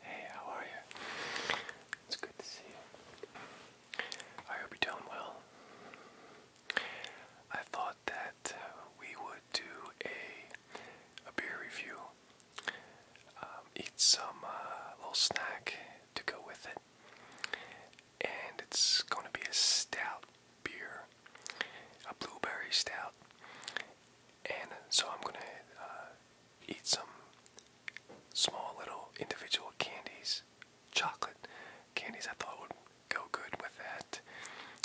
Hey, how are you? It's good to see you. I hope you're doing well. I thought that we would do a a beer review. Um, eat some uh, little snack to go with it, and it's going to be a stout beer, a blueberry stout. And so I'm gonna uh, eat some small little individual candies, chocolate candies I thought would go good with that,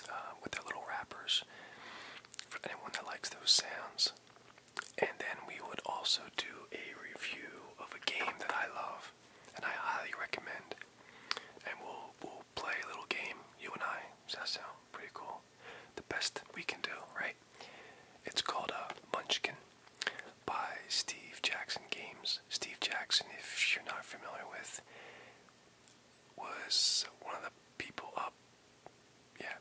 um, with their little wrappers, for anyone that likes those sounds. And then we would also do a review of a game that I love and I highly recommend. And we'll, we'll play a little game, you and I. Does that sound pretty cool? the best we can do, right? It's called a uh, Munchkin by Steve Jackson Games. Steve Jackson, if you're not familiar with, was one of the people up, yeah,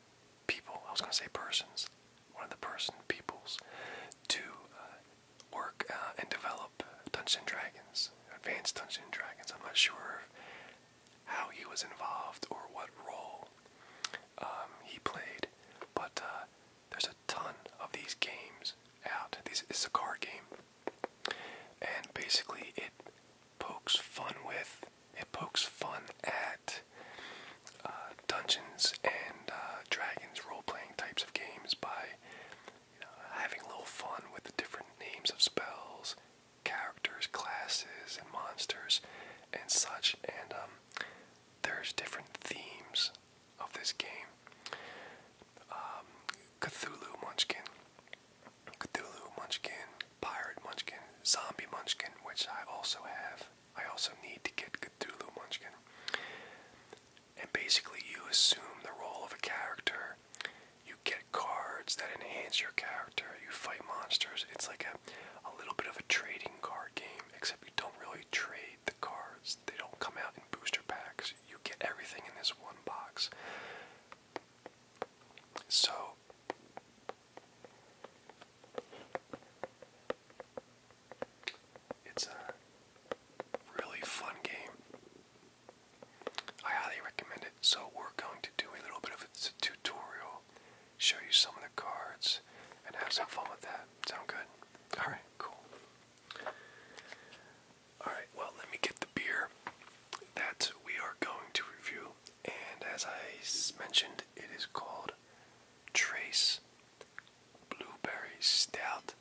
people, I was going to say persons, one of the person peoples to uh, work uh, and develop Dungeons & Dragons, Advanced Dungeons & Dragons. I'm not sure how he was involved or what role um, he played, but uh, there's a ton of these games out. This is a card game, and basically it pokes fun with, it pokes fun at uh, Dungeons and uh, Dragons role-playing types of games by having a little fun with the different names of spells characters, classes, and monsters and such. And um, there's different themes of this game. Um, Cthulhu Munchkin, Cthulhu Munchkin, Pirate Munchkin, Zombie Munchkin, which I also have. I also need to get Cthulhu Munchkin. And basically, you assume the role of a character. You get cards that enhance your character. You fight monsters. It's like a a little bit of a trading card game, except you don't really trade the cards. They don't come out in booster packs. You get everything in this one box. So it's a really fun game. I highly recommend it. So we're going to do a little bit of a tutorial show you some of the cards, and have some fun with that. Sound good? Alright, cool. Alright, well, let me get the beer that we are going to review. And as I mentioned, it is called Trace Blueberry Stout.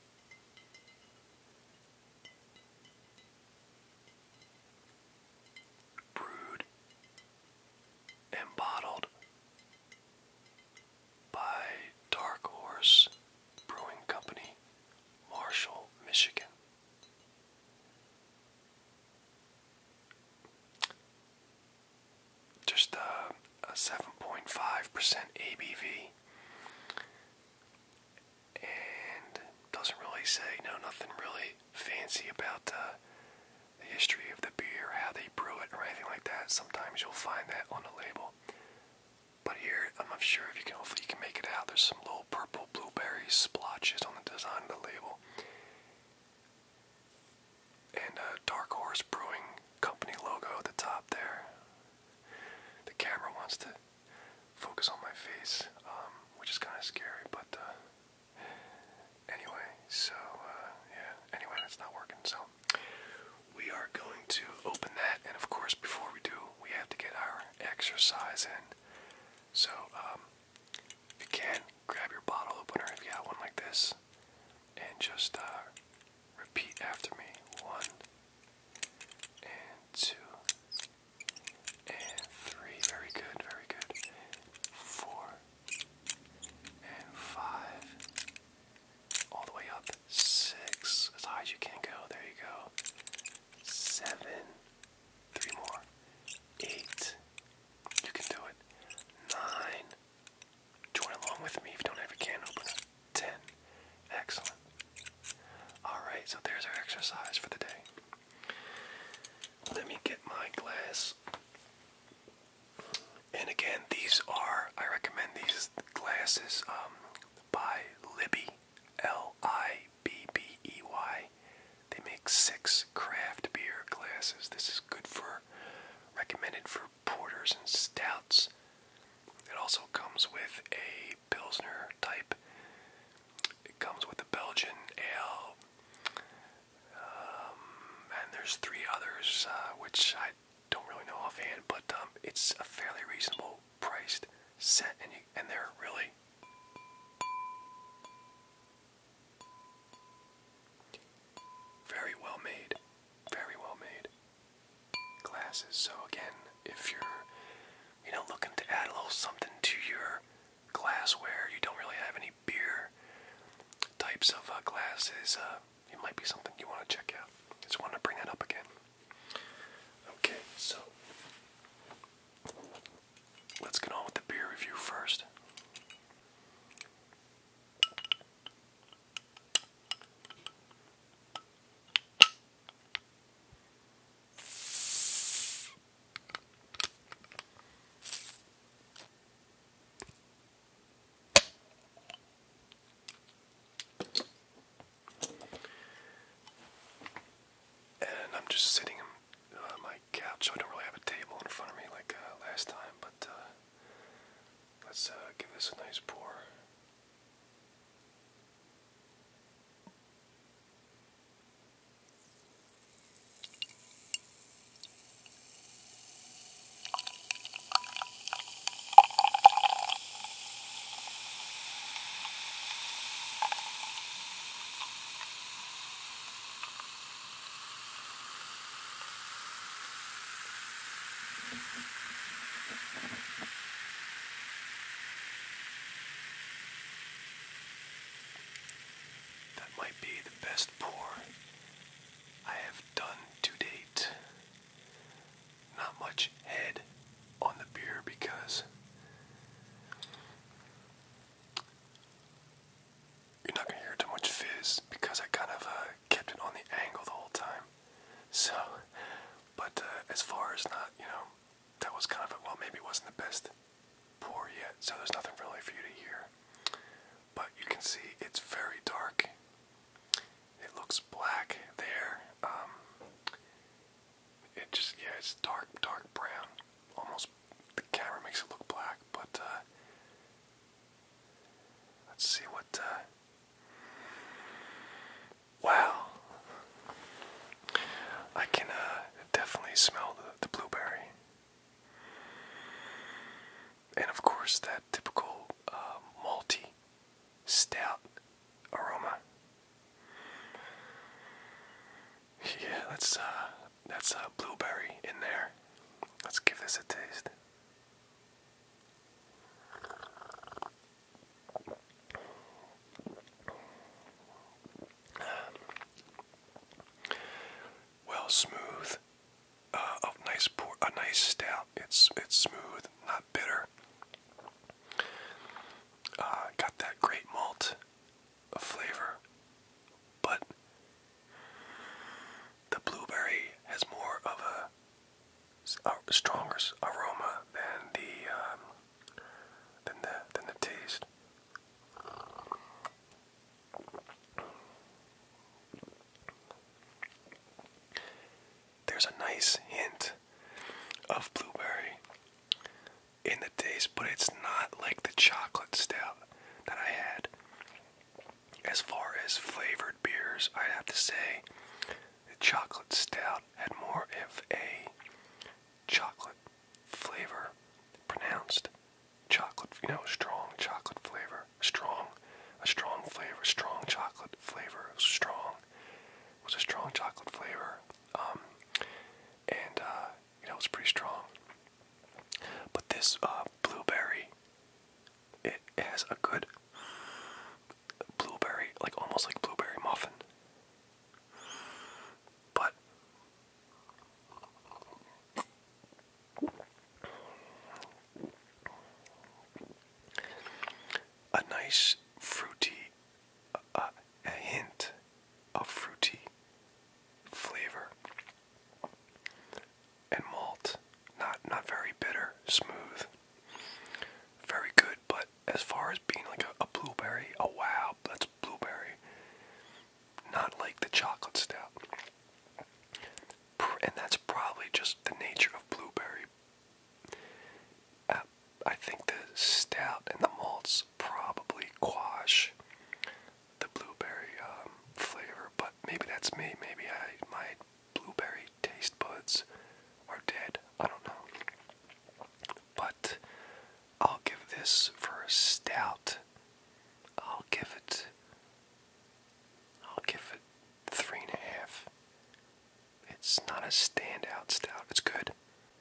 Brewed and by Dark Horse Brewing Company, Marshall, Michigan. Just a, 7.5% ABV. And doesn't really say, no, nothing really fancy about uh, the history of the beer, or how they brew it, or anything like that. Sometimes you'll find that on the label. But here, I'm not sure if you can, hopefully you can make it out. There's some little purple blueberry splotches on the design of the label. And a uh, Dark Horse Brewing Company logo at the top there. The camera wants to focus on my face, um, which is kind of scary, but uh, Anyway, so uh, yeah. Anyway, that's not working. So we are going to open that, and of course, before we do, we have to get our exercise in. So um, if you can, grab your bottle opener if you got one like this, and just uh, repeat after me: one and two. And three, very good, very good. Four, and five, all the way up, six, as high as you can go, there you go, seven, three more, eight, you can do it, nine, join along with me if you don't have a can opener, ten, excellent. Alright, so there's our exercise for the day. Let me get my glass and again, these are, I recommend these glasses um, by Libby, L I B B E Y. They make six craft beer glasses. This is good for, recommended for porters and stouts. It also comes with a Pilsner type. It comes with a Belgian ale, um, and there's three others uh, which I don't really know offhand, but um, it's a fairly reasonable priced set, and they're really very well made, very well made glasses. So again, if you're you know looking to add a little something to your glassware. You don't really have any beer types of uh, glasses. Uh, it might be something you want to check out. Just wanted to bring that up again. Okay, so let's get on with the beer review first. And I'm just sitting on my couch. I don't really have a table in front of me like uh, last time, but uh, let's uh, give this a nice pour. That might be best pour I have done to date. Not much head on the beer because you're not going to hear too much fizz because I kind of uh, kept it on the angle the whole time. So, but uh, as far as not, you know, that was kind of, a, well, maybe it wasn't the best poor yet, so there's nothing really for you to hear. But you can see it's very dark. It looks black there. Um, it just, yeah, it's dark, dark brown. Almost, the camera makes it look black, but uh, let's see what. Uh, wow. I can uh, definitely smell the blueberry. And of course, that typical uh, malty, stout aroma. Yeah, that's uh, that's uh, blueberry in there. Let's give this a taste well smooth, uh, nice a nice stout. It's it's smooth, not bitter. Uh, got that great malt flavor, but the blueberry has more of a stronger aroma than the um, than the than the taste. There's a nice hint of blueberry in the taste, but it's not like the chocolate stout that I had. As far as flavored beers, I'd have to say the chocolate stout had more of a chocolate flavor pronounced chocolate, you know, strong chocolate flavor, strong, a strong flavor, strong chocolate flavor, strong, was a strong chocolate flavor, um, and uh, you know, it's pretty strong. But this uh, blueberry, it has a good blueberry, like almost like blueberry muffin, but a nice fruity, a hint of fruity flavor and malt. Not not very bitter, smooth. Very good, but as far as being like a, blueberry, oh wow, that's blueberry not like the chocolate stout. And that's probably just the nature of blueberry. Uh, I think the stout and the malts probably quash the blueberry um, flavor, but maybe that's me. Maybe I my blueberry taste buds are dead. I don't know. But I'll give this for a stout I'll give it I'll give it three and a half. It's not a standout stout. It's good.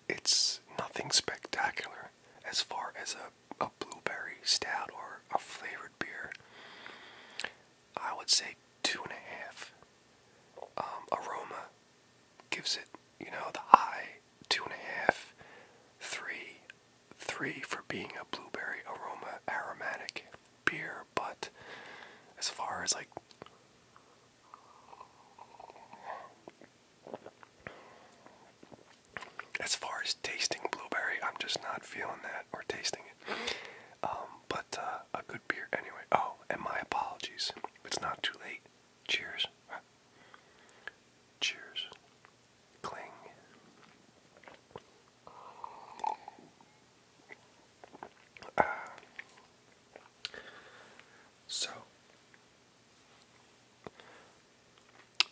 It's nothing spectacular as far as a, a blueberry stout or a flavored beer. I would say two and a half. Um, aroma gives it, you know, the high two and a half, three three for being a blueberry aroma aromatic beer, but as far as like as far as tasting blueberry, I'm just not feeling that or tasting it. Um, but uh, a good beer anyway. Oh, and my apologies. It's not too late. Cheers. Cheers cling. Uh, so,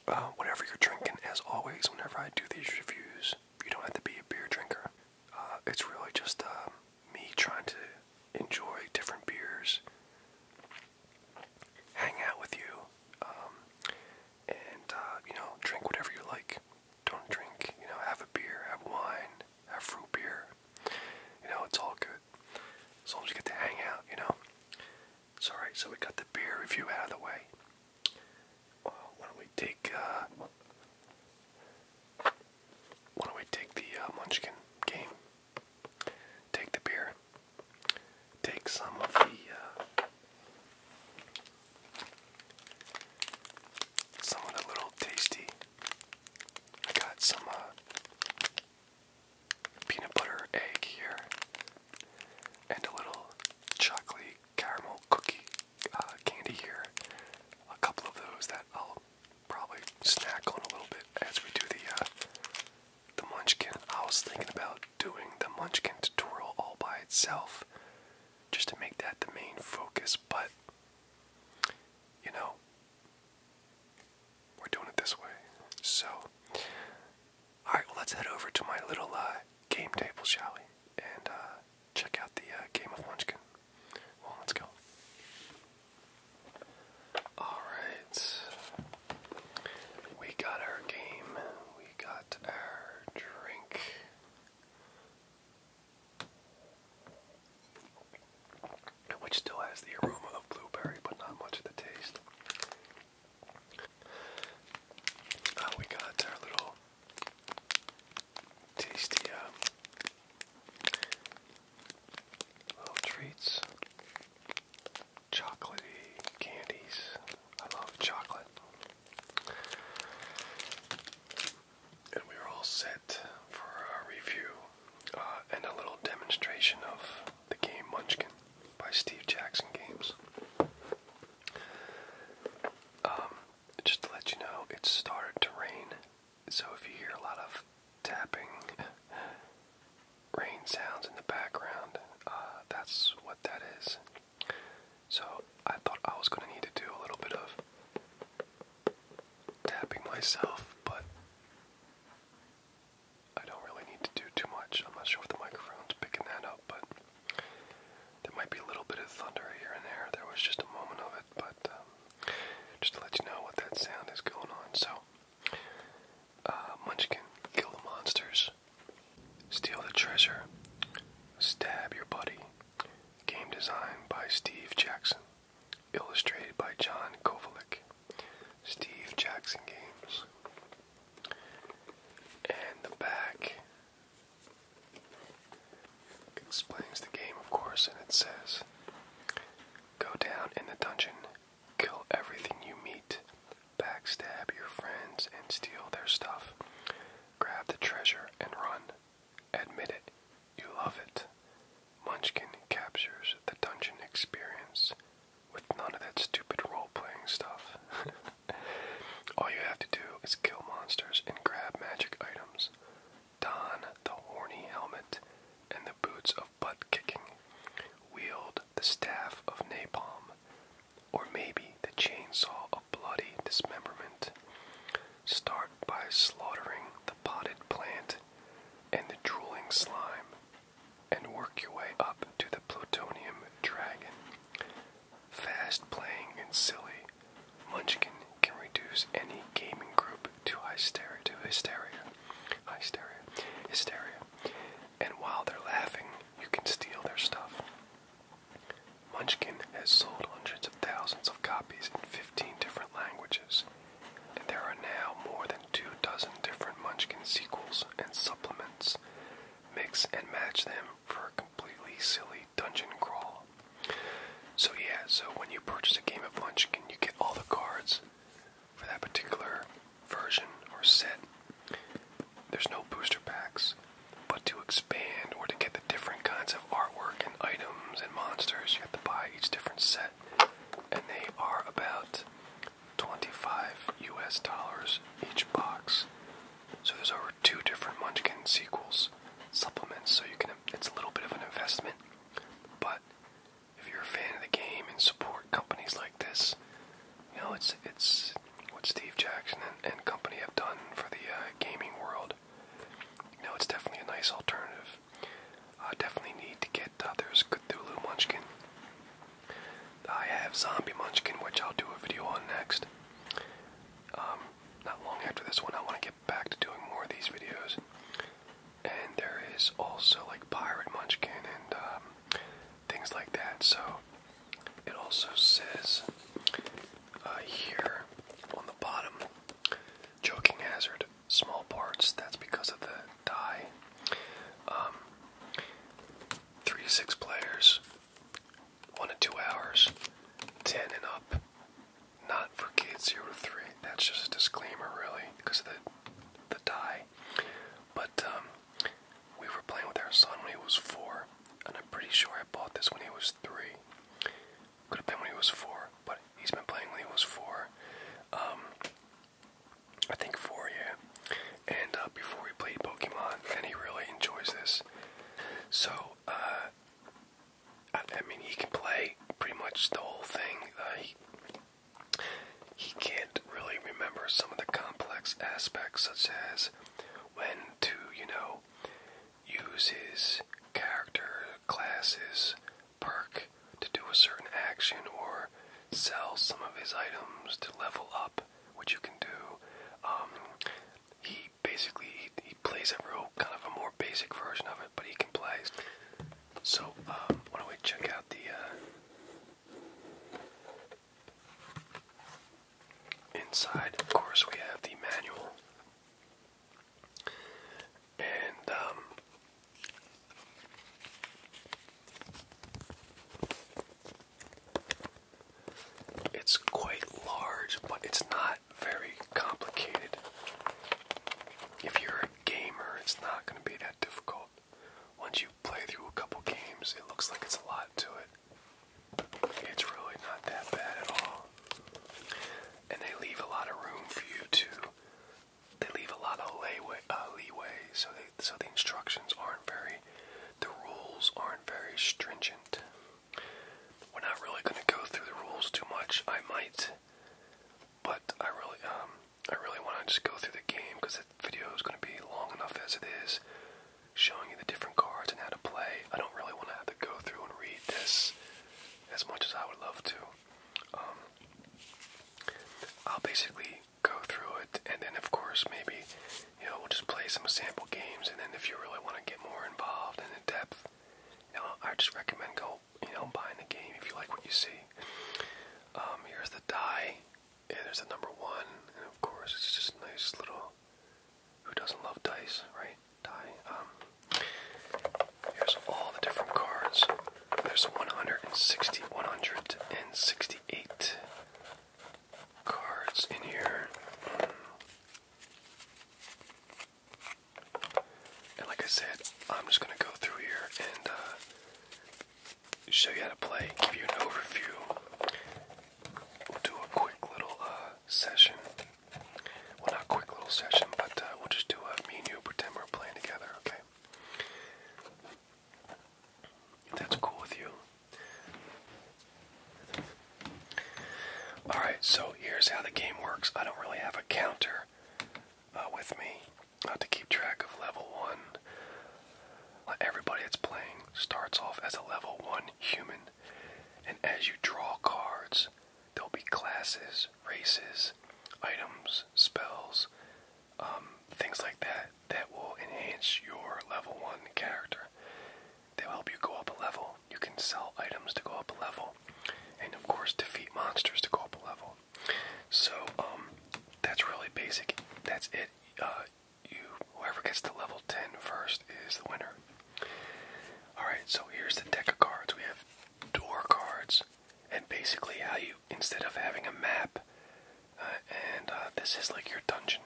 uh, whatever you're drinking, as always, whenever I do these reviews, you don't have to be a beer drinker. Uh, it's really just me trying to enjoy different beers hang out with you, um, and uh, you know, drink whatever you like. Don't drink, you know, have a beer, have wine, have fruit beer. You know, it's all good. As long as you get to hang out, you know. It's alright, so we got the beer review out of the way. Uh, why don't we take, uh, why don't we take the uh, Munchkin game? Take the beer take some of the uh, some of the little tasty. I got some uh, peanut butter egg here, and a little chocolate caramel cookie uh, candy here. A couple of those that I'll probably snack on a little bit as we do the the munchkin. I was thinking about doing the Munchkin tutorial all by itself just to make that the main focus, but you know, we're doing it this way. So, alright, well, let's head over to my little uh, game table, shall we? And uh, check out the uh, game of Munchkin. Well, let's go. Alright. We got our game. We got our drink. Which still has the aroma of blueberry, but not much of the taste. Uh, we got our little tasty uh, little treats chocolatey candies. I love chocolate. And we were all set for our review uh, and a little demonstration of the game Munchkin by Steve Jackson Games. Um, just to let you know, it started to rain, so if you hear a lot of tapping, rain sounds in the background. Uh, that's what that is. So I thought I was going to need to do a little bit of tapping myself, but I don't really need to do too much. I'm not sure if the microphone's picking that up, but there might be a little bit of thunder here and there. There was just a moment of it, but um, just to let you know what that sound is going on. So Munchkin, um, kill the monsters. Steal the treasure. Stab your buddy. Game design by Steve Jackson. Illustrated by John Kovalik. Steve Jackson Games. And the back explains the game, of course, and it says Go down in the dungeon, kill everything you meet, backstab your friends and steal their stuff. Grab the treasure and run. Admit it, you love it. Munchkin captures the dungeon experience with none of that stupid role playing stuff. All you have to do is kill monsters and grab magic items. Don the horny helmet and the boots of butt kicking. Wield the staff of napalm or maybe the chainsaw of bloody dismemberment. Start by slaughtering the potted plant and the drooling slime, and work your way up to the plutonium dragon. Fast playing and silly, Munchkin can reduce any gaming group to hysteria, to hysteria, hysteria, hysteria, and while they're laughing, you can steal their stuff. Munchkin has sold hundreds of thousands of copies in 15 different languages, and there are now more than two dozen different Munchkin sequels and supplements. Mix and match them for a completely silly dungeon crawl. So, yeah, so when you purchase a game of Munchkin, you get all the cards for that particular version or set, there's no booster packs, but to expand or to get the different kinds of artwork and items and monsters, you have to buy each different set, and they are about 25 US dollars each box. So there's over two different Munchkin sequels supplements, so you can it's a little bit of an investment, but if you're a fan of the game and support companies like this. You know, it's it's what Steve Jackson and, company have done for the uh, gaming world. You know, it's definitely a nice alternative. I definitely need to get uh, there's Cthulhu Munchkin. I have Zombie Munchkin, which I'll do a video on next. Um, not long after this one, I want to get back to doing more of these videos. And there is also like Pirate Munchkin and um, things like that. So it also says uh, here on the bottom, choking hazard, small parts. That's because of the die. Um, three to six players, one to two hours, ten and up. Not for kids zero to three. That's just a disclaimer, really, because of the the die. But um, we were playing with our son when he was four, and I'm pretty sure I bought this when he was three. Could have been when he was four, but he's been playing when he was four. Um, I think four, yeah. And uh, before he played Pokemon, and he really enjoys this. So, uh, I, mean, he can play pretty much the whole thing. Uh, he can't really remember some of the complex aspects, such as when to, you know, use his character classes perk to do a certain action or sell some of his items to level up, which you can do. Um, he basically he, plays a real kind of a more basic version of it, but he can play. So um, why don't we check out the uh, Inside, of course, we have the manual. And, um, it's quite large, but it's not very complicated. If you're a gamer, it's not going to be that difficult once you play through a couple games, it looks like it's a lot to it. It's really not that bad at all. And they leave a lot of room for you to. They leave a lot of uh, leeway, so, they, so the instructions aren't very. The rules aren't very stringent. We're not really going to go through the rules too much. I might, but I really, um, I really want to just go through the game because the video is going to be long enough as it is showing you the different cards and how to play. I don't really want to have to go through and read this as much as I would love to. Um, I'll basically go through it, and then of course maybe you know we'll just play some sample games, and then if you really want to get more involved and in depth, you know I just recommend go you know buying the game if you like what you see. Um, here's the die yeah, there's the number one, and of course it's just a nice little. Who doesn't love dice, right? Die. Um, here's all the different cards. There's 160, 168 cards in here. And like I said, I'm just gonna go through here and uh, show you how to play, give you an overview. We'll do a quick little uh, session. Well, not quick little session, but uh, we'll just do a me and you pretend we're playing together, okay? If that's cool with you. Alright, so here's how the game works. I don't really have a counter uh, with me uh, to keep track of level one. Everybody that's playing starts off as a level 1 human, and as you draw cards, there'll be classes, races, items, spells, um, things like that that will enhance your level 1 character. They'll help you go up a level. You can sell items to go up a level, and of course, defeat monsters to go up a level. So, um, that's really basic. That's it. Uh, you whoever gets to level 10 first is the winner. Alright, so here's the deck of cards. We have door cards, and basically how you instead of having a map, uh, and uh, this is like your dungeon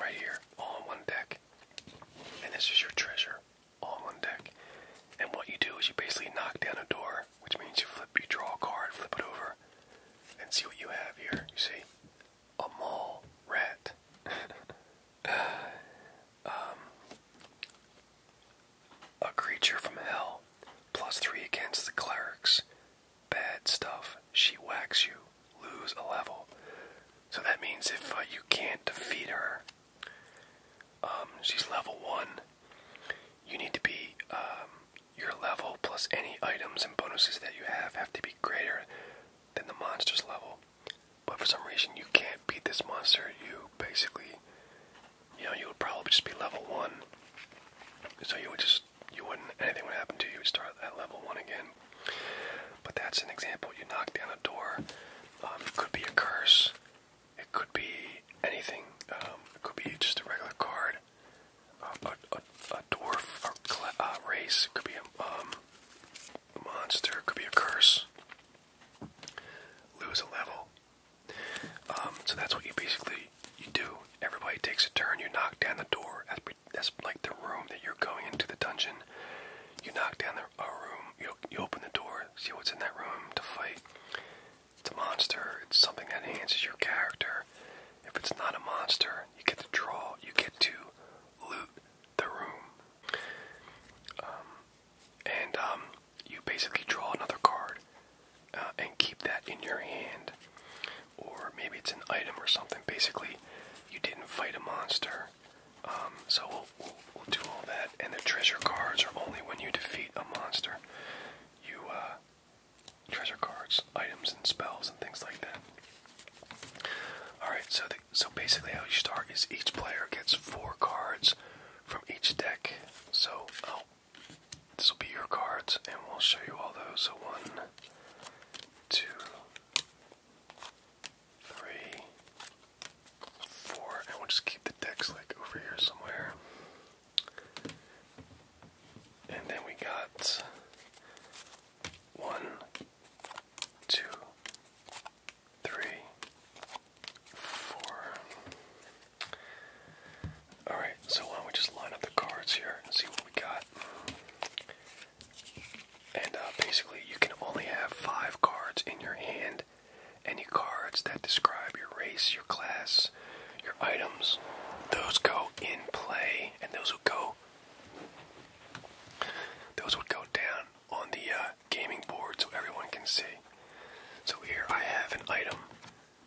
right here, all on one deck, and this is your treasure, all on one deck. And what you do is you basically knock down a door, which means you flip, you draw a card, flip it over, and see what you have here. You see, a mole rat. Um, a creature from hell. Plus three against the clerics. Bad stuff. She whacks you. Lose a level. So that means if uh, you can't defeat her, um, she's level one. You need to be um, your level plus any items and bonuses that you have have to be greater than the monster's level. But for some reason you can't beat this monster, you basically you know, you would probably just be level one. So you would just you wouldn't anything would happen to you, you would start at level one again. But that's an example. You knock down a door. Um, it could be a curse. It could be anything. Um, it could be just a regular card a, a, a dwarf or uh, race. could be a, um, monster. could be a curse. Lose a level. Um, so that's what you basically you do. Everybody takes a turn. You knock down the door. That's, that's like the room that you're going into the dungeon. You knock down the a room. You you open the door. See what's in that room to fight. It's a monster. It's something that enhances your character. If it's not a monster, you get to draw, you get to loot the room. Um, and um, you basically draw another card uh, and keep that in your hand. Or maybe it's an item or something. Basically, you didn't fight a monster. Um, so we'll, we'll do all that. And the treasure cards are only when you defeat a monster. You, uh, treasure cards, items, and spells, and things like that. Alright, so, so basically, how you start is each player gets four cards from each deck. So, oh, this will be your cards, and we'll show you all those. So, one, two, three, four, and we'll just keep the decks like over here somewhere. And then we got one, two, three, four. Alright, so why don't we just line up the cards here and see what we got. And uh, basically, you can only have five cards in your hand. Any cards that describe your race, your class, your items, those go in play, and those who go those would go down on the uh, gaming board so everyone can see. So here I have an item.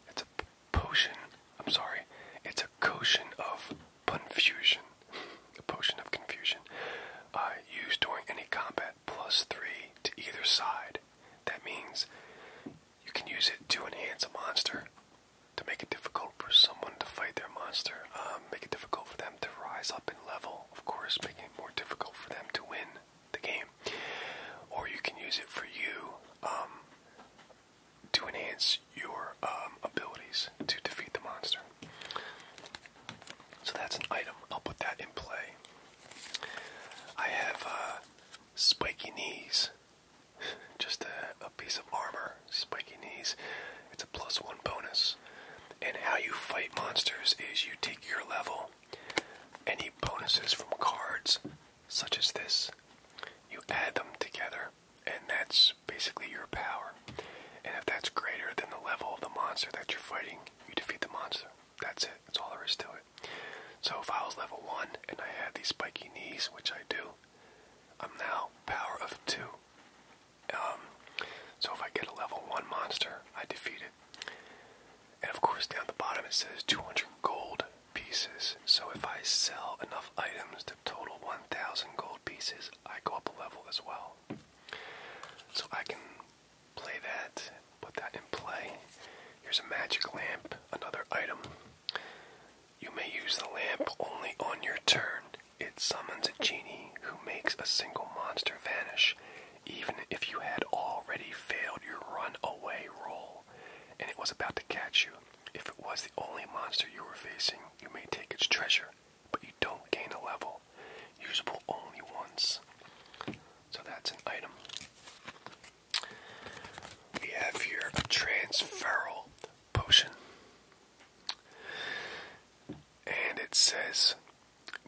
It's a potion. I'm sorry. It's a potion of confusion. a potion of confusion. Uh, used during any combat, plus three to either side. That means you can use it to enhance a monster to make it difficult for someone to fight their monster, um, make it difficult for them to rise up in level, of course, making it more difficult for them to win the game. Or you can use it for you um, to enhance your um, abilities to defeat the monster. So that's an item. I'll put that in play. I have uh, spiky knees. Just a, piece of armor, spiky knees. It's a plus one bonus. And how you fight monsters is you take your level, any bonuses from cards, such as this, you add them together, and that's basically your power. And if that's greater than the level of the monster that you're fighting, you defeat the monster. That's it. That's all there is to it. So if I was level 1 and I had these spiky knees, which I do, I'm now power of two. Um, so if I get a level one monster, I defeat it. And of course, down the bottom it says 200 gold pieces. So if I sell enough items to total 1,000 gold pieces, I go up a level as well. So I can play that, put that in play. Here's a magic lamp, another item. You may use the lamp only on your turn. It summons a genie who makes a single monster vanish, even if you had already failed your run away roll and it was about to catch you. If it was the only monster you were facing, you may take its treasure, but you don't gain a level. Usable only once. So that's an item. We have here a transferal potion. And it says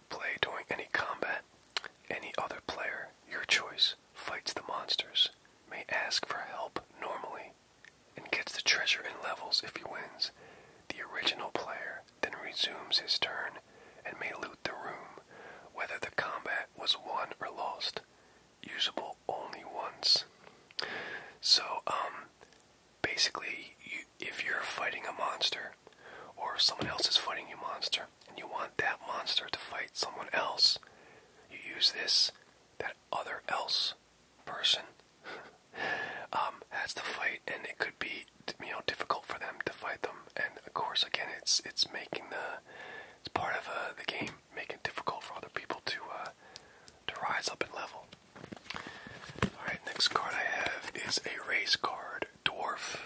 play during any combat. Any other player, your choice, fights the monsters, may ask for help normally, and gets the treasure in levels if he wins. The original player then resumes his turn and may loot the room, whether the combat was won or lost usable only once. So, um, basically, if you're fighting a monster, or someone else is fighting you monster, and you want that monster to fight someone else, you use this. That other else person um, has to fight, and it could be you know difficult for them to fight them. And of course, again, it's it's making the it's part of uh, the game, making it difficult for other people to uh, to rise up in level. Alright, next card I have is a race card, Dwarf.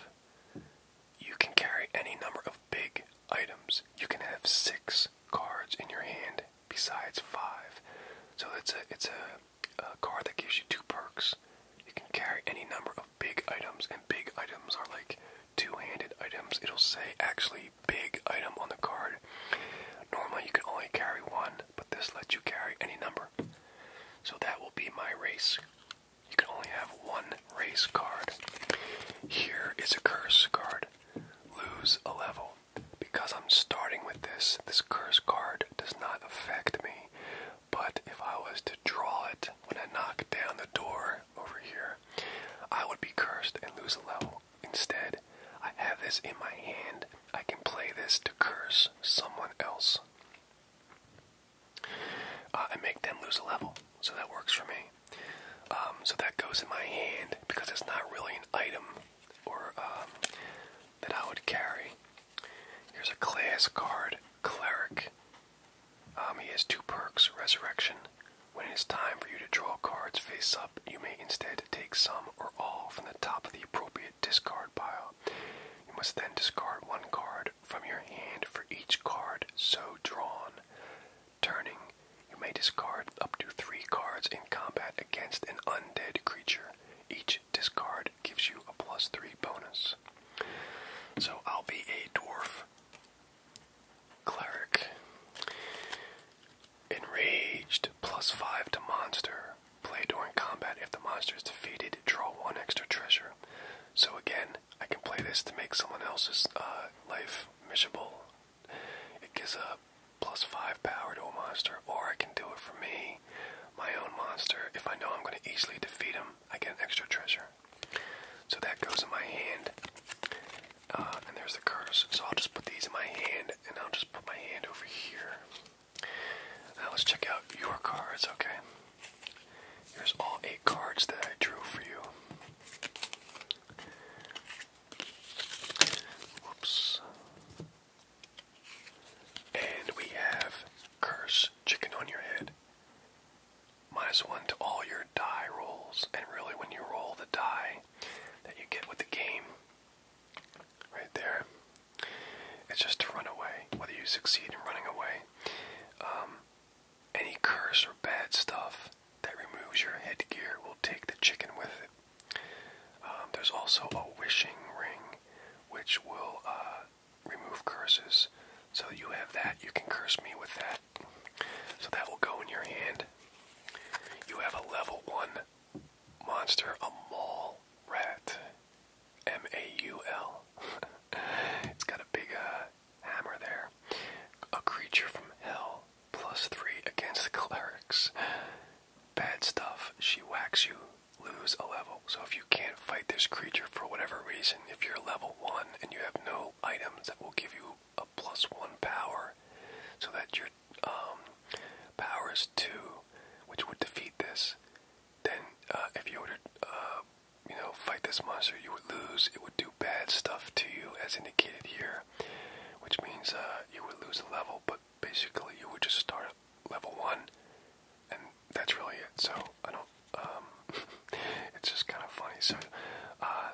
You can carry any number of big items. You can have six cards in your hand besides five. So it's a it's a, a card that gives you two perks. You can carry any number of big items, and big items are like two-handed items. It'll say actually big item on the card. Normally you can only carry one, but this lets you carry any number. So that will be my race. You can only have one race card. Here is a curse card. Lose a level. Because I'm starting with this, this curse card does not affect me. But if I was to draw it when I knock down the door over here, I would be cursed and lose a level instead, I have this in my hand. I can play this to curse someone else. I uh, make them lose a level. So that works for me. Um, so that goes in my hand because it's not really an item or um, that I would carry. Here's a class card, Cleric. Um, he has two perks, Resurrection. When it is time for you to draw cards face up, you may instead take some or all from the top of the appropriate discard pile. You must then discard one card from your hand for each card so drawn. Turning, you may discard up to three cards in combat against an undead creature. Each discard gives you a plus three bonus. So I'll be a dwarf cleric. Enraged, plus 5 to monster. Play during combat. If the monster is defeated, draw 1 extra treasure. So again, I can play this to make someone else's uh, life miserable. It gives a plus 5 power to a monster, or I can do it for me, my own monster. If I know I'm going to easily defeat him, I get an extra treasure. So that goes in my hand. Uh, and there's the curse. So I'll just put these in my hand, and I'll just put my hand over here. Now let's check out your cards, okay? Here's all eight cards that I drew for you. Oops. And we have Curse, Chicken on Your Head. Minus one to all your die rolls. And really, when you roll the die that you get with the game, right there. It's just to run away. Whether you succeed in running away, um, any curse or bad stuff that removes your headgear will take the chicken with it. Um, there's also a wishing ring, which will uh, remove curses. So you have that. You can curse me with that. So that will go in your hand. You have a level one monster, a mall rat. M A U L. It's got a big uh, hammer there. A creature from hell. Plus three against the clerics. Bad stuff. She whacks you. Lose a level. So if you can't fight this creature for whatever reason, if you're level one and you have no items that will give you a plus one power, so that your um, power is two, which would defeat this. Then, uh, if you were to, uh, you know, fight this monster, you would lose. It would do bad stuff to you, as indicated here, which means uh, you would lose a level. But basically, you would just start at level one, and that's really it. So I don't. Um, it's just kind of funny. So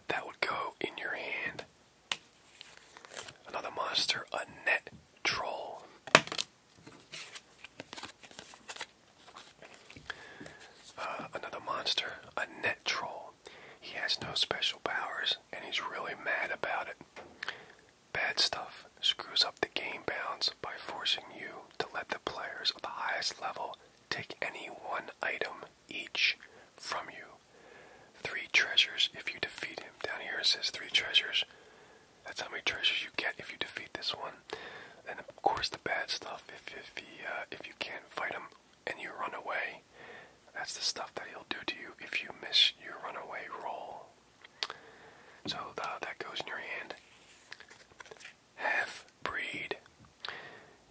that would go in your hand Another monster, a net troll. Uh, another monster, a net troll. He has no special powers and he's really mad about it. Bad stuff screws up the game bounds by forcing you to let the players of the highest level take any one item each from you. Three treasures if you defeat him. Down here it says three treasures. That's how many treasures you get if you defeat this one. And of course the bad stuff. If if he uh, if you can't fight him and you run away, that's the stuff that he'll do to you if you miss your runaway roll. So the, that goes in your hand. Half breed.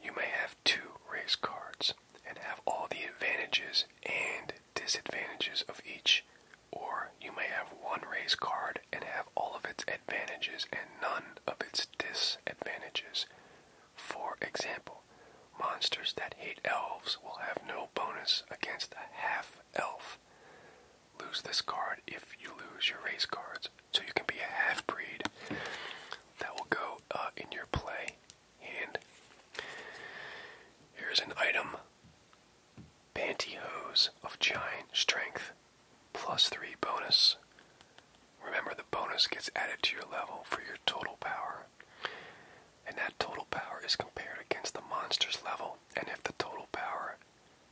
You may have two race cards and have all the advantages and disadvantages of each. Or you may have one race card and have all of its advantages and none of its disadvantages. For example, monsters that hate elves will have no bonus against a half elf. Lose this card if you lose your race cards. So you can be a half breed that will go uh, in your play and here's an item Pantyhose of Giant Strength, plus 3 bonus. Remember, the bonus gets added to your level for your total power. And that total power is compared against the monster's level. And if the total power,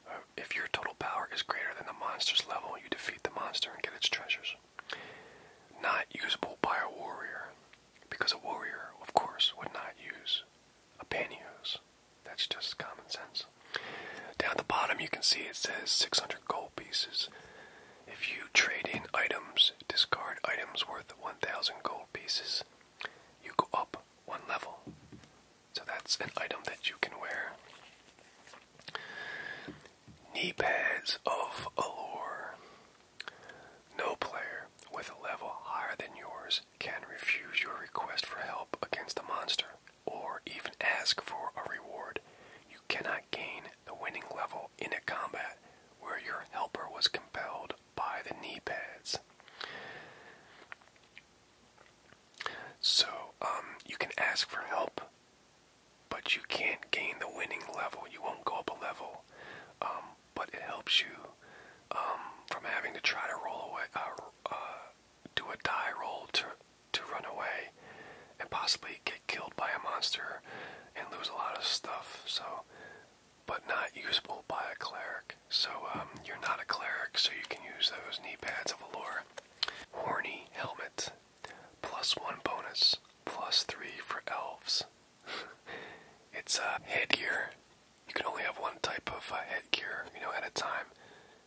uh, if your total power is greater than the monster's level, you defeat the monster and get its treasures. Not usable by a warrior. Because a warrior, of course, would not use a pantyhose. That's just common sense. Down at the bottom, you can see it says 600 gold pieces. If you trade in items, discard items worth 1,000 gold pieces, you go up one level. So that's an item that you can wear. Knee pads of allure. No player with a level higher than yours can refuse your request for help against a monster, or even ask for a reward. You cannot gain the winning level in a combat where your helper was compelled by the knee pads. So, um, you can ask for help, but you can't gain the winning level. You won't go up a level um, but it helps you um, from having to try to roll away, uh, uh, do a die roll to to run away, and possibly get killed by a monster and lose a lot of stuff. So, but not usable by a cleric. So um, you're not a cleric, so you can use those knee pads of allure. Horny helmet, plus one bonus, plus three for elves. it's a headgear. You can only have one type of uh, headgear, you know, at a time.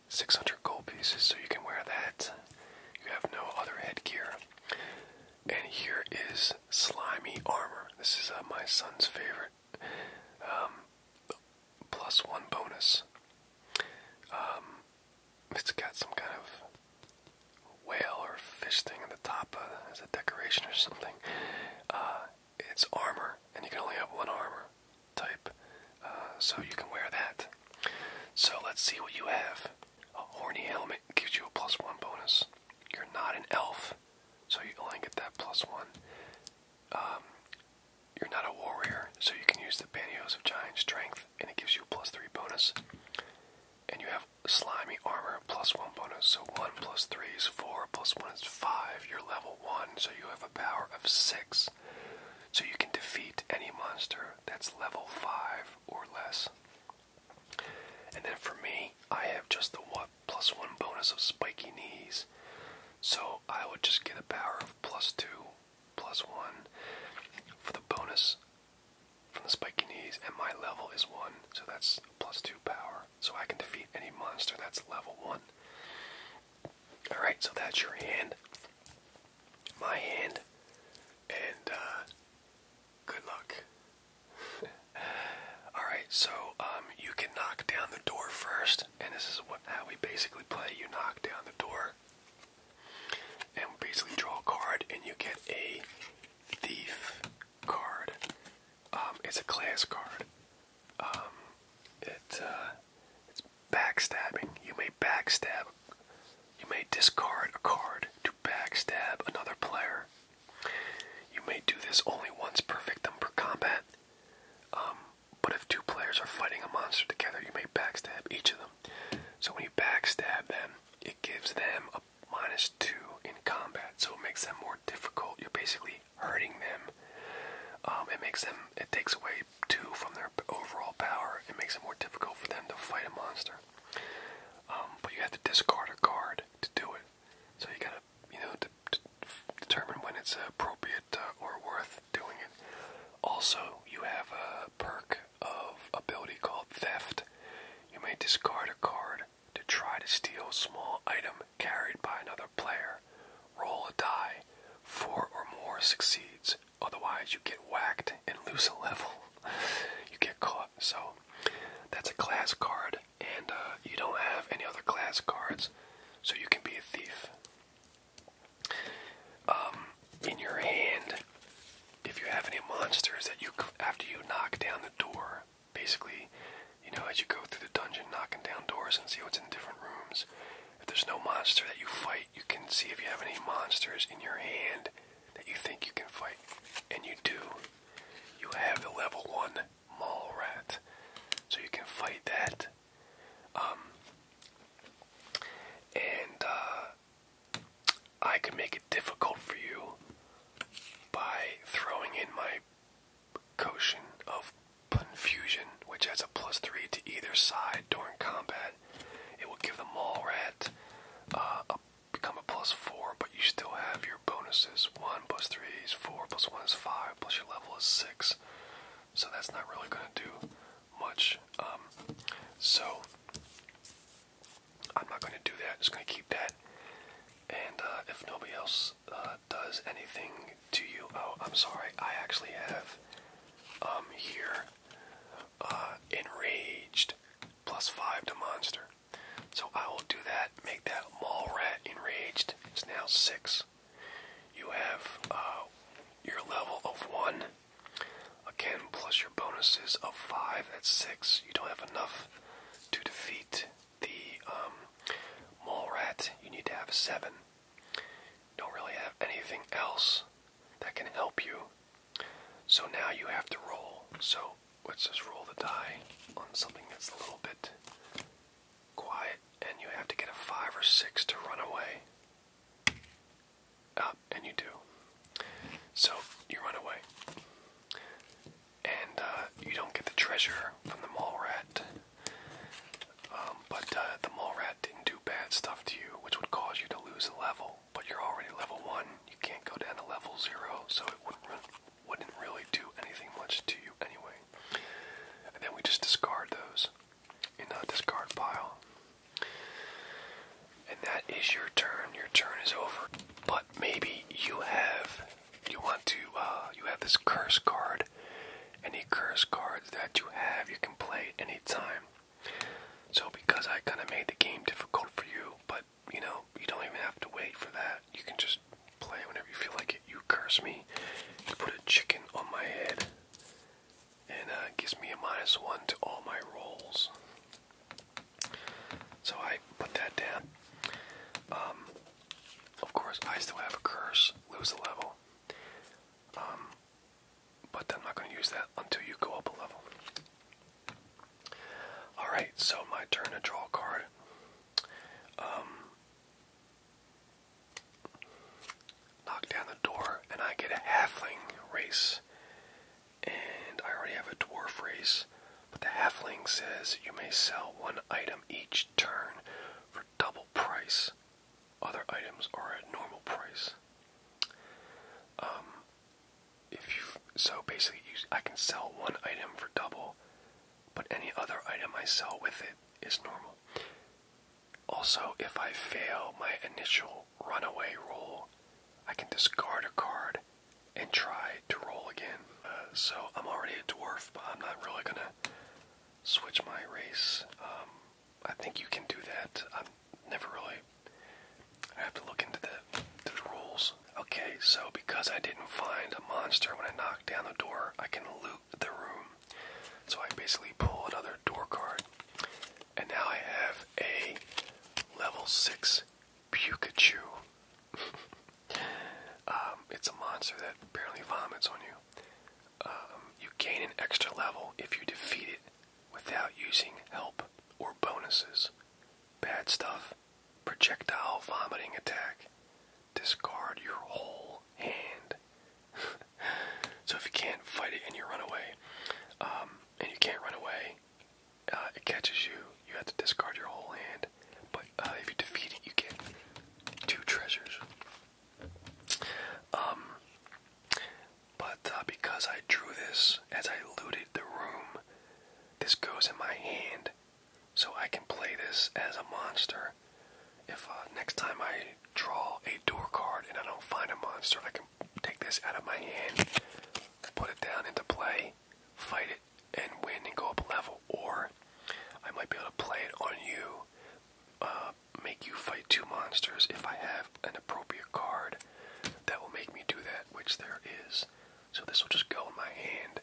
600 gold pieces, so you can wear that. You have no other headgear. And here is slimy armor. This is uh, my son's favorite. Um, one bonus. Um, it's got some kind of whale or fish thing at the top as a decoration or something. Uh, it's armor, and you can only have one armor type, uh, so you can wear that. So let's see what you have. A horny helmet gives you a plus one bonus. You're not an elf, so you only get that plus one. Um, you're not a warrior, so you can use the Bannios of Giant Strength, and it gives you a plus three bonus. And you have slimy armor plus one bonus. So one plus three is four, plus one is five. You're level one, so you have a power of six. So you can defeat any monster that's level five or less. And then for me, I have just the one plus one bonus of spiky knees. So I would just get a power of plus two, plus one for the bonus from the spiky knees, and my level is 1, so that's plus 2 power. So I can defeat any monster that's level 1. Alright, so that's your hand. My hand. And, uh, good luck. Alright, so, um, you can knock down the door first, and this is what how we basically play. You knock down the door, and we basically draw a card, and you get a thief card. Um, it's a class card. Um, uh, it's backstabbing. You may backstab. You may discard a card to backstab another player. You may do this only once per victim per combat. Um, but if two players are fighting a monster together, you may backstab each of them. So when you backstab them, it gives them a minus two in combat, so it makes them more difficult. You're basically hurting them. Um, it makes them. It takes away two from their overall power. It makes it more difficult for them to fight a monster. Um, but you have to discard a card to do it. So you gotta, you know, determine when it's appropriate uh, or worth doing it. Also, you have a perk of ability called Theft. You may discard a card to try to steal a small item carried by another player. Roll a die. Four or more succeeds. Otherwise, you get whacked and lose a level. you get caught. So, that's a class card, and uh, you don't have any other class cards, so you can be a thief. Um, in your hand, if you have any monsters that you, after you knock down the door, basically, you know, as you go through the dungeon, knocking down doors and see what's in different rooms. If there's no monster that you fight, you can see if you have any monsters in your hand that you think you can fight. And you do. You have the level 1 mall rat. So you can fight that. Um, and uh, I can make it difficult for you by throwing in my Potion of Confusion, which adds a plus three to either side during combat. It will give the mall rat uh, become a plus four, but you still have your bonuses. One plus three is four, plus one is five, plus your level is six. So that's not really going to do much. Um, so I'm not going to do that. I'm just going to keep that. And uh, if nobody else uh, does anything to you, oh, I'm sorry. I actually have um, here uh, enraged plus five to monster. So I will do that. Make that mall rat enraged. It's now six. You have your level of one. Again, plus your bonuses of five. at six. You don't have enough to defeat the um, mole rat, you need to have a seven. Don't really have anything else that can help you. So now you have to roll. So let's just roll the die on something that's a little bit quiet, and you have to get a five or six to run away. Up, ah, and you do. So you run away and uh, you don't get the treasure from the mall rat. Um, but uh, the mall rat didn't do bad stuff to you, which would cause you to lose a level. But you're already level one; you can't go down to level zero, so it wouldn't really do anything much to you anyway. And then we just discard those in a discard pile. And that is your turn. Your turn is over but maybe you have you want to uh, you have this curse card. Any curse cards that you have, you can play at any time. So because I kind of made the game difficult for you, but you know you don't even have to wait for that. You can just play whenever you feel like it. You curse me, you put a chicken on my head, and uh, gives me a minus one to all my rolls. So I put that down. Um, of course, I still have a curse, lose a level. Um, but I'm not going to use that until you go up a level. Alright, so my turn to draw a card. Um, knock down the door, and I get a halfling race and I already have a dwarf race, but the halfling says you may sell one item each turn for double price. Other items are at normal price. Um, if you so basically, I can sell one item for double, but any other item I sell with it is normal. Also, if I fail my initial runaway roll, I can discard a card and try to roll again. Uh, so I'm already a dwarf, but I'm not really gonna switch my race. Um, I think you can do that. I'm never really. I have to look into the, the rules. Okay, so because I didn't find a monster when I knocked down the door, I can loot the room. So I basically pull another door card, and now I have a level six Pikachu. Um, it's a monster that apparently vomits on you. Um, you gain an extra level if you defeat it without using help or bonuses. Bad stuff. Projectile vomiting attack. Discard your whole hand. so if you can't fight it and you run away, um, and you can't run away, uh, it catches you. You have to discard your whole hand. But uh, if you defeat it, you get two treasures. Um, but uh, because I drew this as I looted the room, this goes in my hand, so I can play this as a monster. If next time I draw a door card and I don't find a monster, I can take this out of my hand, put it down into play, fight it, and win and go up a level, or I might be able to play it on you, uh, make you fight two monsters if I have an appropriate card that will make me do that, which there is. So this will just go in my hand.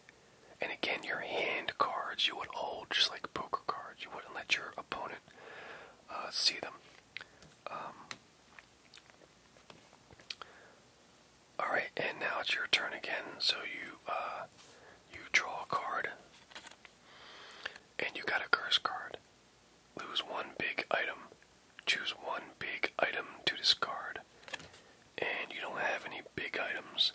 And again, your hand cards you would hold just like poker cards. You wouldn't let your opponent uh, see them. Um, all right, and now it's your turn again. So you uh, you draw a card, and you got a curse card. Lose one big item. Choose one big item to discard, and you don't have any big items.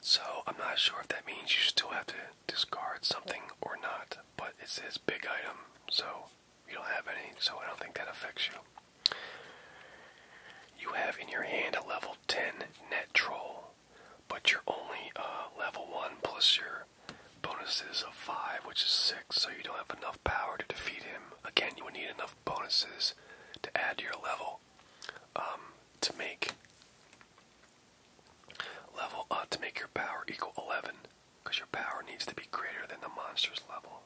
So I'm not sure if that means you still have to discard something or not, but it says big item, so you don't have any, so I don't think that affects you. You have in your hand a level 10 net troll, but you're only uh, level 1 plus your bonuses of 5, which is 6, so you don't have enough power to defeat him. Again, you would need enough bonuses to add your level um, to make level uh, to make your power equal 11. Because your power needs to be greater than the monster's level.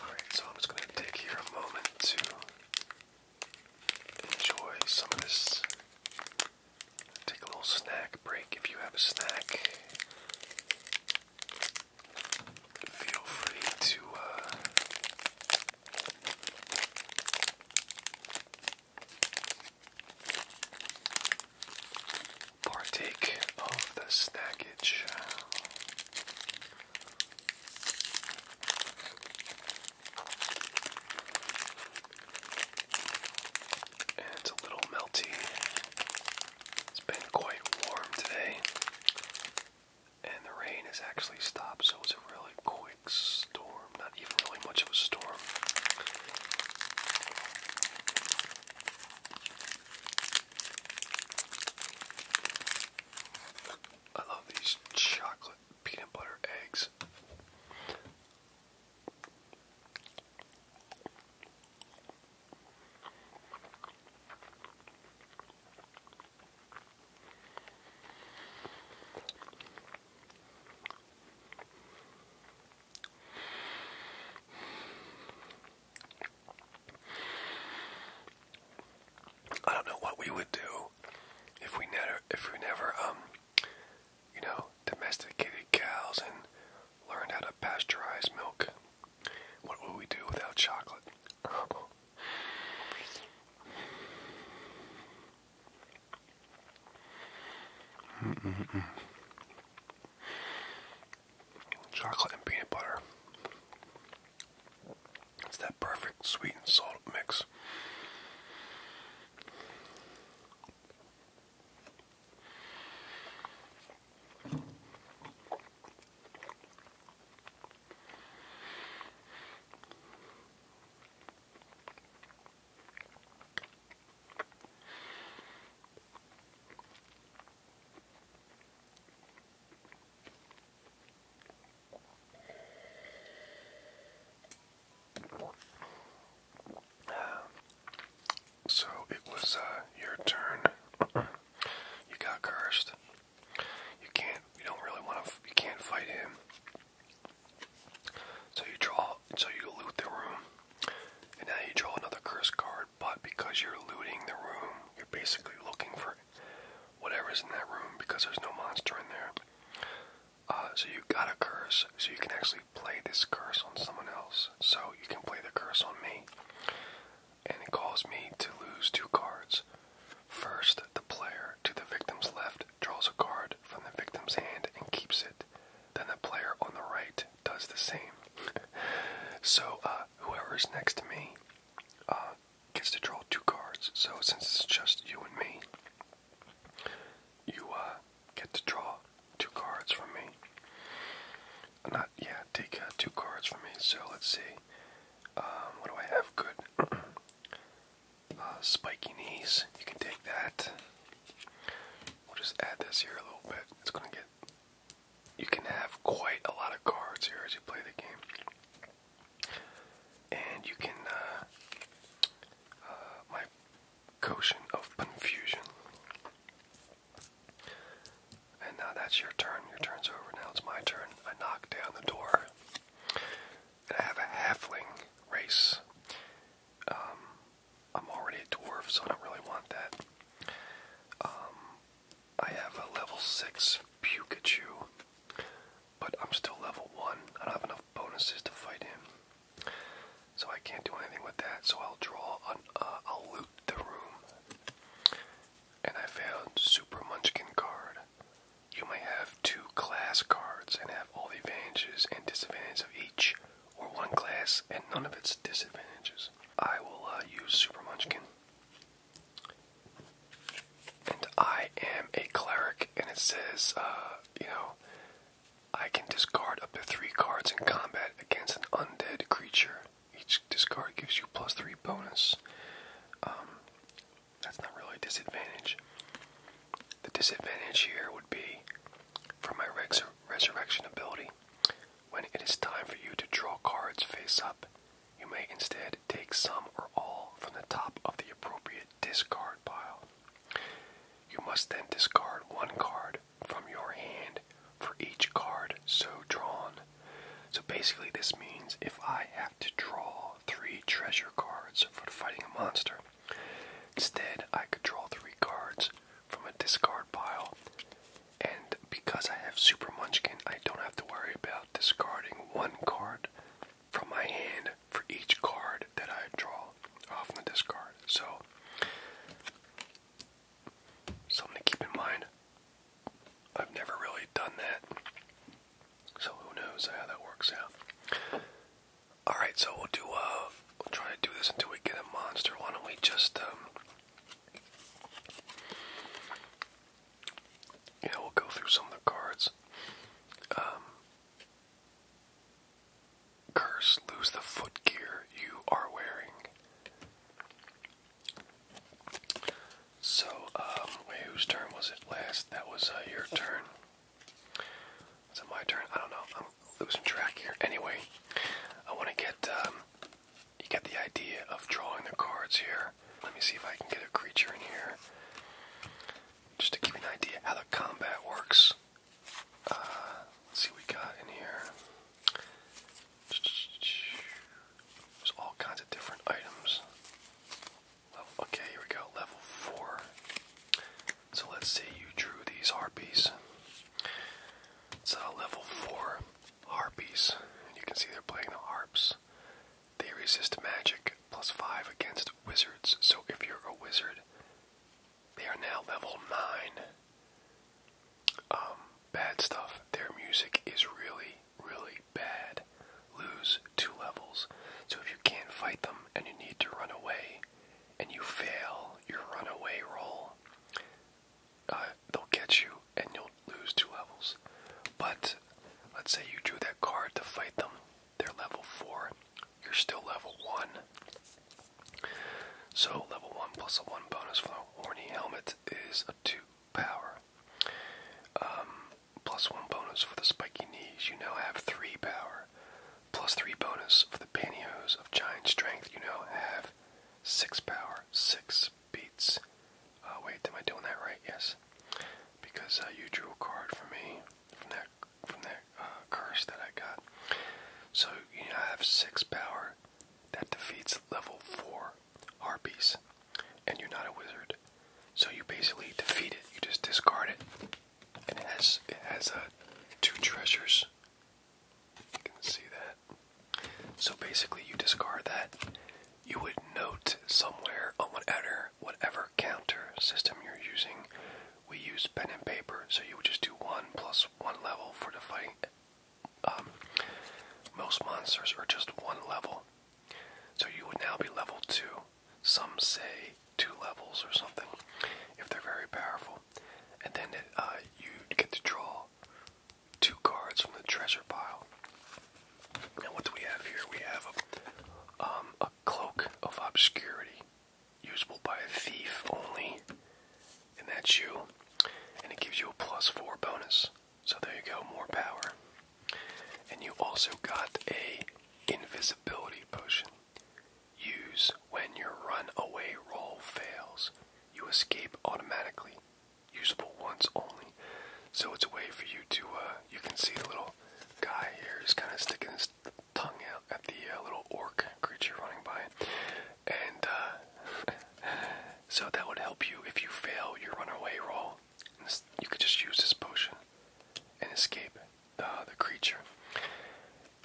Alright, so I'm just going to take here a moment to enjoy some of this. Take a little snack break if you have a snack. Feel free to uh, partake of the snackage. And it's a little melty. It's been quite warm today. And the rain has actually stopped, so it's a really quick storm. Not even really much of a storm. I love these chocolate peanut butter eggs. I don't know what we would do if we never, if we never, um, you know, domesticated cows and learned how to pasteurize milk. What would we do without chocolate? chocolate and peanut butter. It's that perfect sweet and salt mix. So it was uh, your turn. you got cursed. You can't. You don't really want to. You can't fight him. So you draw. So you loot the room, and now you draw another cursed card but because you're looting the room, you're basically looking for whatever is in that room because there's no monster in there. Uh, so you got a curse, so you can actually play this curse on someone else. So you can play the curse on me, and it calls me to lose two cards. First, the player to the victim's left draws a card from the victim's hand and keeps it. Then the player on the right does the same. so uh, whoever's next to me uh, gets to draw two cards. So since it's just you and me, you uh, get to draw two cards from me. Not yeah, take uh, two cards from me. So let's see. Um, what do I have? Good. uh, spiky knees. You can take that. We'll just add this here a little bit. It's gonna get you can have quite a lot of cards here as you play the game. And you can, uh, uh my quotient of confusion. And now that's your turn. Your turn's over. Now it's my turn. I knock down the door. And I have a halfling race. Um, I'm already a dwarf, so I don't really want that. Um, I have a level 6 Pukachu, but I'm still level 1. I don't have enough bonuses to fight him. So I can't do anything with that, so I'll draw on, uh, I'll loot the room. And I found Super Munchkin card. You may have two class cards and have all the advantages and disadvantages of each, or one class and none of its disadvantages. I will uh, use Super Munchkin. And I am a cleric, and it says, uh, you know, I can discard up to three cards in combat against an undead creature. Each discard gives you plus three bonus. Um, that's not really a disadvantage. The disadvantage here would be from my resurrection ability. When it is time for you to draw cards face up, you may instead take some or all from the top of the appropriate discard pile. You must then discard one card from your hand for each card so drawn. So basically, this means if I have to draw three treasure cards for fighting a monster, instead I could draw three cards from a discard pile. And because I have Super Munchkin, I don't have to worry about discarding one card from my hand for each card that I draw off the discard. So, something to keep in mind. I've never really done that. So, who knows how that works out. Alright, so we'll do, uh, we'll try to do this until we get a monster. Why don't we just, um, yeah, we'll go through some of the cards. Um, curse, lose the footgear you are wearing. So, um, whose turn was it last? That was uh, your turn. Is my turn? I don't know. I'm losing track here. Anyway, I want to get, um, you get the idea of drawing the cards here. Let me see if I can get a creature in here. Just to give you an idea how the combat works. Uh, let's see what we got in here. There's all kinds of different items. Okay, here we go. Level 4. So let's say you drew these harpies. It's a level 4 harpies. And you can see they're playing the harps. They resist magic, plus 5 against wizards. So if you're a wizard, they are now level 9. Um, bad stuff. Their music is really, really bad. Lose 2 levels. So if you can't fight them and you need to run away, and you fail your away roll, uh, they'll get you and you'll lose two levels. But let's say you drew that card to fight them, they're level 4, you're still level 1. So, level 1 plus a 1 bonus for the Horny Helmet is a 2 power. Um, plus 1 bonus for the Spiky Knees, you now have 3 power. Plus 3 bonus for the Pantyhose of Giant Strength, you now have six power, six beats. Uh, wait, am I doing that right? Yes, because uh, you drew a card for me from that from that uh, curse that I got. So you know, I have six power that defeats level four harpies, and you're not a wizard. So you basically defeat it. You just discard it, and it has it has uh, two treasures you can see that. So basically, you discard that. You would note somewhere on whatever whatever counter system you're using. We use pen and paper, so you would just do one plus one level for the fight. Um, most monsters are just one level, so you would now be level two. Some say two levels or something if they're very powerful, and then it, uh, you get to draw two cards from the treasure pile. And what do we have here? We have um, a, cloak of obscurity, usable by a thief only, and that's you. And it gives you a plus four bonus. So there you go, more power. And you also got a invisibility potion. Use when your runaway roll fails you escape automatically, usable once only. So it's a way for you to, uh, you can see the little guy here is kind of sticking his tongue out at the uh, little orc creature running by. And uh, so that would help you if you fail your runaway roll. You could just use this potion and escape uh, the creature.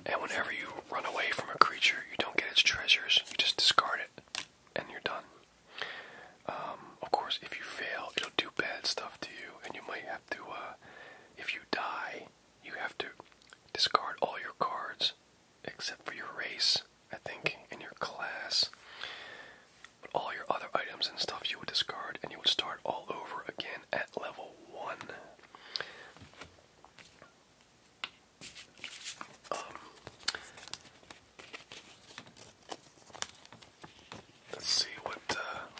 And whenever you run away from a creature, you don't get its treasures. You just discard it, and you're done. Um, of course, if you fail, it'll do bad stuff to you, and you might have to. Uh, if you die, you have to discard all your cards except for your race, I think, and your class. But all your other items and stuff you would discard, and you would start all over again at level one let's see what. Uh,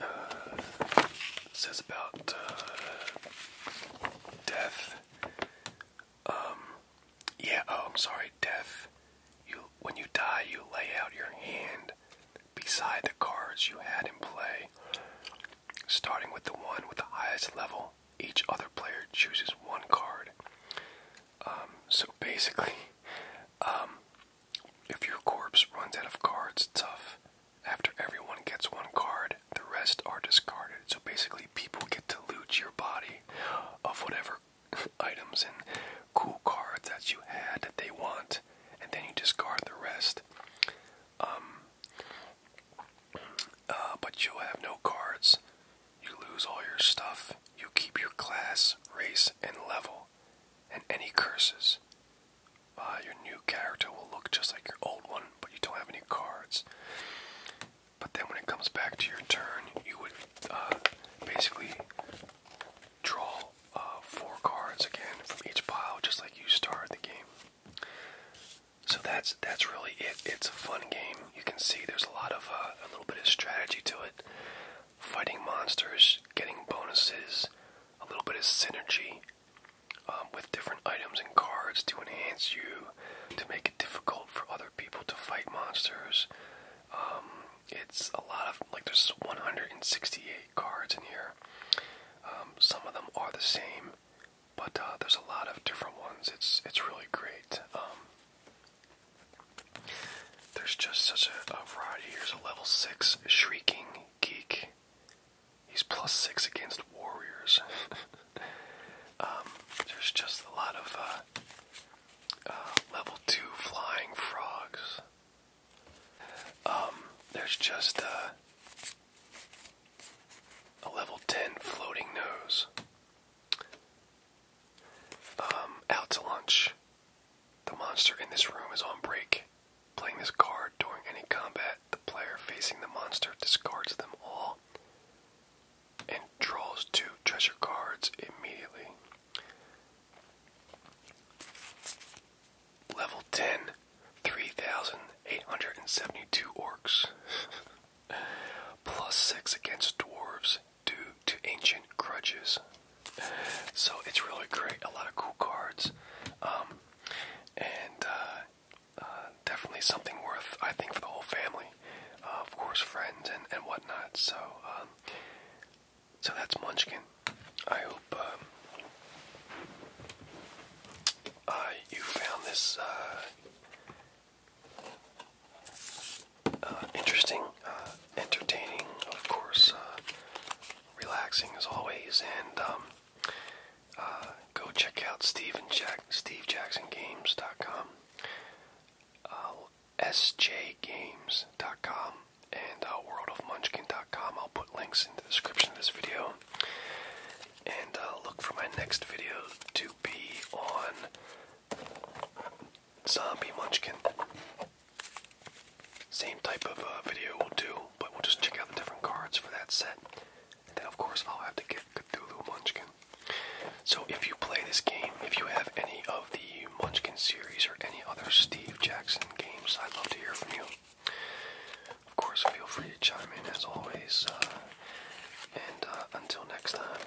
uh, says about uh, death. Um, yeah. Oh, I'm sorry. Death. You when you die, you lay out your hand beside the cards you had in play, starting with the one with the highest level. Each other player chooses one card. Um, so basically, um, if your corpse runs out of cards, tough. After everyone gets one card, the rest are discarded. So basically, people get to loot your body of whatever items and cool cards that you had that they want, and then you discard the rest. Um, uh, but you'll have no cards. You lose all your stuff. You keep your class, race, and level, and any curses. Uh, your new character will look just like your old one, but you don't have any cards. But then when it comes back to your turn, you would uh, basically draw uh, four cards again from each pile, just like you started the game. So that's that's really it. It's a fun game. You can see there's a lot of uh, a little bit of strategy to it, fighting monsters, getting bonuses, a little bit of synergy um, with different items and cards to enhance you, to make it difficult for other people to fight monsters. Um, it's a lot of like there's 168 cards in here. Um, some of them are the same, but uh, there's a lot of different ones. It's it's really great. Um, there's just such a, variety. Here's a level six shrieking geek. He's plus six against warriors. Um, there's just a lot of uh, uh, level two flying frogs. Um, there's just uh, a, level 10 floating nose. Um, out to lunch. The monster in this room is on break. Playing this card during any combat, the player facing the monster discards them all and draws two treasure cards immediately. Level 10, 3,872 orcs. Plus 6 against dwarves due to ancient grudges. So it's really great. A lot of cool cards. Um, and uh, uh, definitely something worth, I think, for the whole family. Uh, of course, friends and, and whatnot. So um, so that's Munchkin. I hope um, uh, you found this uh, uh, interesting, entertaining, of course, relaxing as always. And um, go check out Steve Jackson Games dot com. S J Games dot com and uh, worldofmunchkin.com. I'll put links in the description of this video. And uh, look for my next video to be on Zombie Munchkin. Same type of uh, video we'll do, but we'll just check out the different cards for that set. And then, of course, I'll have to get Cthulhu Munchkin. So, if you play this game, if you have any of the EU Munchkin series or any other Steve Jackson games, I'd love to hear from you. Of course, feel free to chime in as always. Uh, and uh, until next time,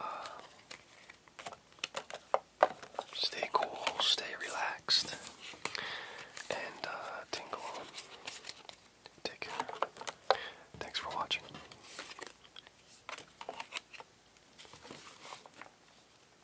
uh, stay cool, stay relaxed, and tingle Take care. Thanks for watching.